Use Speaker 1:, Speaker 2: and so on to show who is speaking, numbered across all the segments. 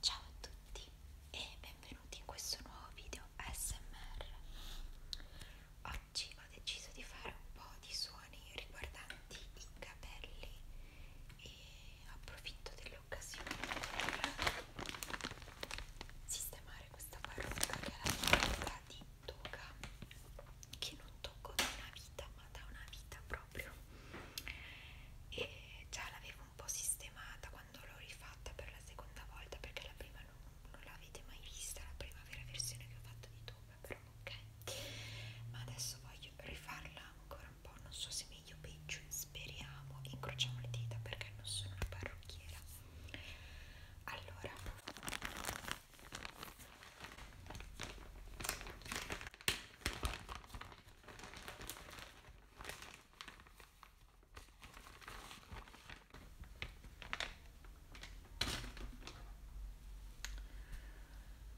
Speaker 1: Ciao a tutti e benvenuti in questo nuovo video ASMR. Oggi ho deciso di fare un po' di suoni riguardanti i capelli e approfitto dell'occasione per sistemare questa parrucca che è la parrucca di Toga che non tocco da una vita ma da una vita proprio e già l'avevo un po' sistemata quando l'ho rifatta per la seconda volta perché la prima non, non l'avete mai vista, la prima vera versione che ho fatto di Tube, però ok. Ma adesso voglio rifarla ancora un po', non so se meglio o peggio, speriamo, incrociamo le dita perché non sono una parrucchiera. Allora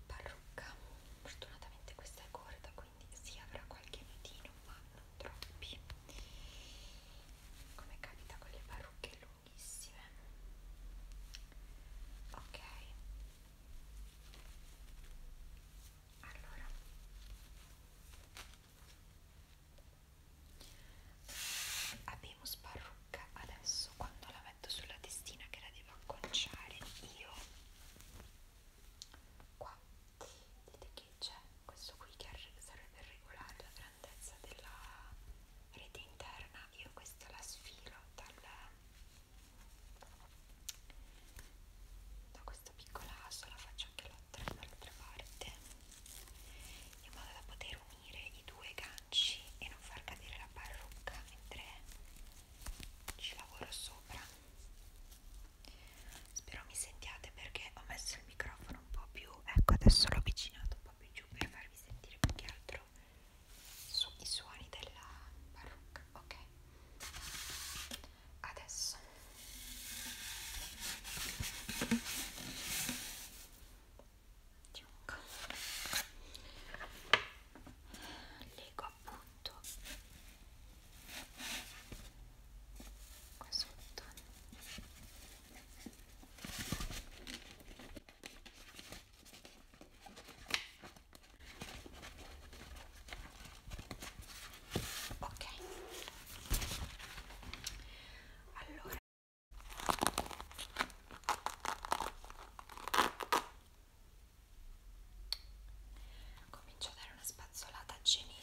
Speaker 1: parrucca fortunatamente questa è corta quindi si avrà qualche nodino ma non troppi come capita con le parrucche lunghissime ok allora abbiamo sparrucca adesso quando la metto sulla testina che la devo acconciare io qua vedete che c'è questo qui che serve per regolare la grandezza della rete interna io questa la sfilo dal da questa piccola asola faccio anche l'altra, dall'altra parte in modo da poter unire i due ganci e non far cadere la parrucca mentre ci lavoro sopra spero mi sentiate perché ho messo il microfono un po' più ecco adesso l'ho avvicinato un po' più giù per farvi sentire più che altro su, i suoni della parrucca ok adesso leggo appunto qua sotto ok allora comincio a dare una spazzolata generale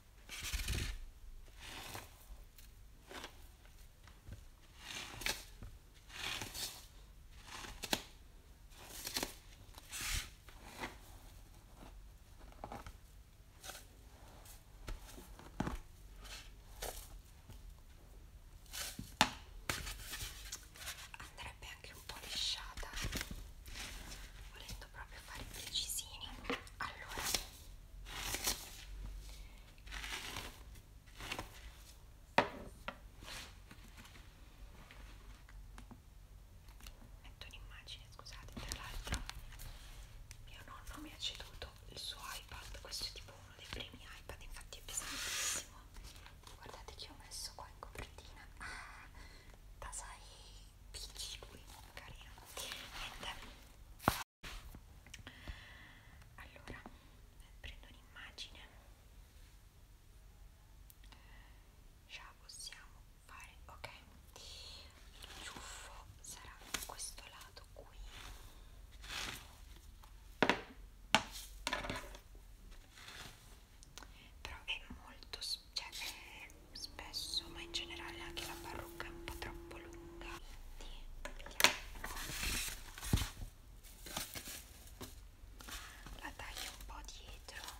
Speaker 1: Andrebbe anche un po' lisciata, volendo proprio a fare precisini allora metto un'immagine scusate tra l'altro mio nonno mi ha ceduto il suo iPad questo è tipo uno dei primi iPad infatti è pesantissimo guardate che ho messo qua in copertina ah, tasai Peach lui, carino niente allora prendo un'immagine ce la possiamo fare ok il ciuffo sarà da questo lato qui però è molto cioè è spesso ma in generale anche la parrucca è un po' troppo lunga la taglio un po' dietro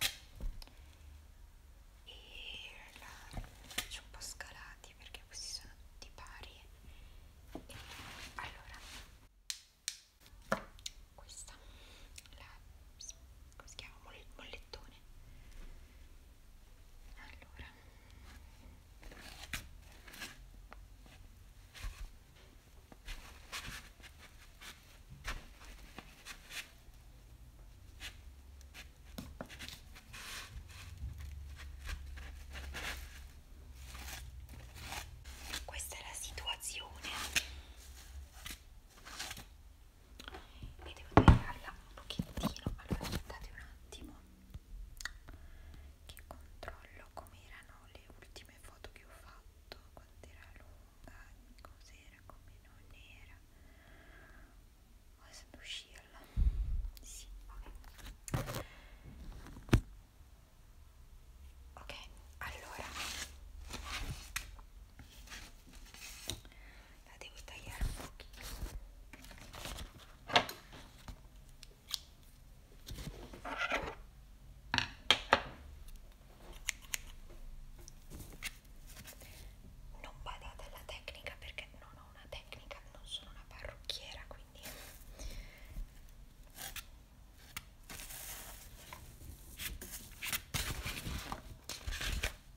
Speaker 1: e la faccio un po' scalati perché questi sono tutti pari e allora questa la come si chiama? Moll mollettone allora questa è la situazione e devo tagliarla un pochettino allora aspettate un attimo che controllo come erano le ultime foto che ho fatto quanto era lunga cos'era come non era adesso uscirla sì ok ok allora la devo tagliare un pochino non badate alla tecnica perché non ho una tecnica, non sono una parrucchiera quindi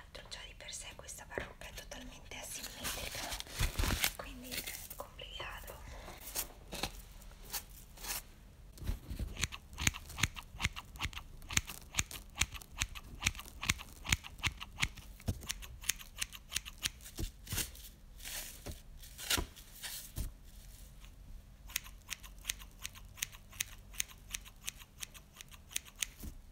Speaker 1: l'altro già di per sé questa parrucca è totalmente asimmetrica quindi è complicato Ecco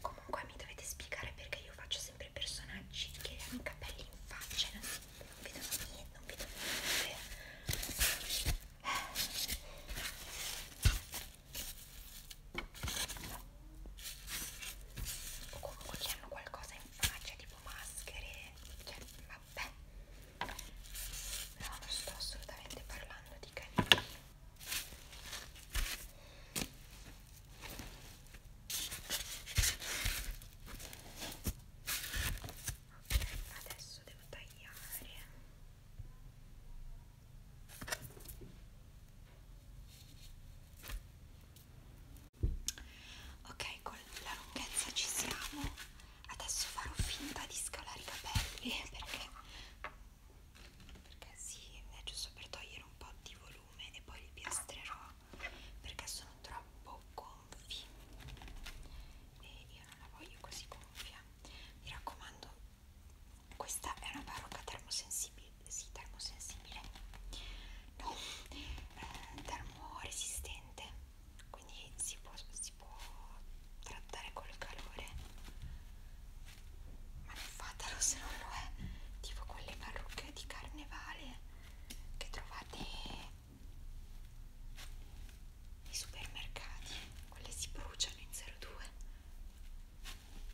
Speaker 1: Comunque mi dovete spiegare perché io faccio sempre personaggi che hanno i capelli in faccia, non, non vedono niente, non vedono niente. Eh o comunque che hanno qualcosa in faccia tipo maschere cioè vabbè no non sto assolutamente parlando di canini Ok, adesso devo tagliare. Ok, con la lunghezza ci siamo. Adesso farò finta di scalare i capelli perché, perché sì, è giusto per togliere un po' di volume e poi li piastrerò perché sono troppo gonfi e io non la voglio così gonfia. Mi raccomando, questa è una parrucca termosensibile, sì, termosensibile, no, eh, termoresistente, quindi si può, si può trattare col calore, ma non fatelo se non lo è, tipo quelle parrucche di carnevale che trovate nei supermercati, quelle si bruciano in 02.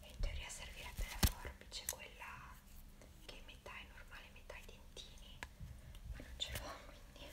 Speaker 1: E in teoria servirebbe la forbice, quella che metà è normale, metà i dentini, ma non ce l'ho quindi.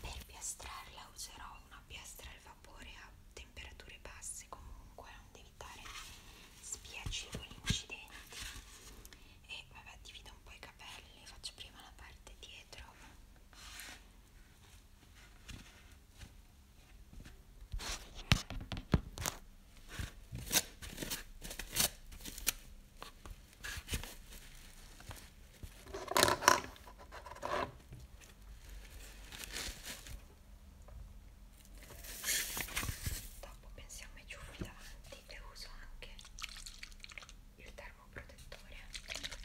Speaker 1: Per piastrarla userò una piastra al vapore a temperatura temperature basse comunque onde evitare spiacevoli incidenti e vabbè divido un po' i capelli faccio prima la parte dietro Dopo pensiamo ai ciuffi davanti e uso anche il termoprotettore. Ecco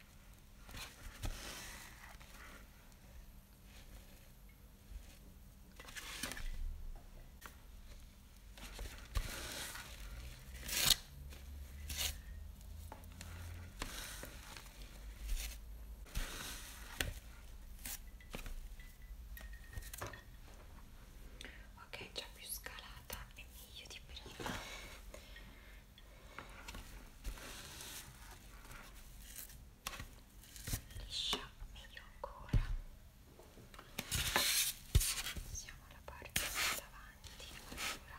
Speaker 1: Ok, già più scalata e meglio di prima liscia meglio ancora siamo alla parte davanti allora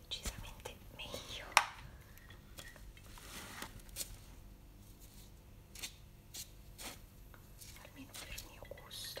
Speaker 1: decisamente meglio almeno per il mio gusto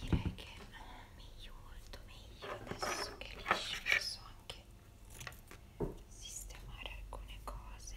Speaker 1: direi che meglio molto meglio adesso che liscio posso anche sistemare alcune cose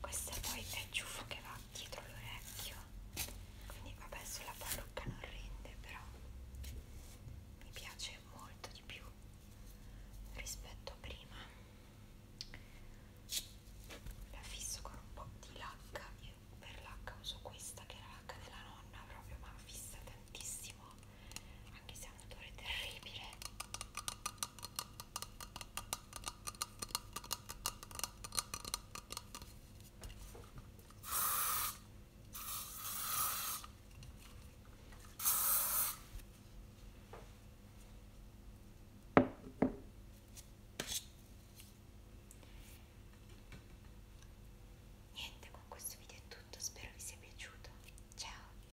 Speaker 1: Questa poi è il ciuffo che va dietro l'orecchio quindi vabbè sulla parrucca non rende però mi piace molto di più rispetto a prima la fisso con un po' di lacca io per lacca uso questa che è la lacca della nonna proprio ma fissa tantissimo anche se ha un odore terribile Niente, con questo video è tutto, spero vi sia piaciuto. Ciao!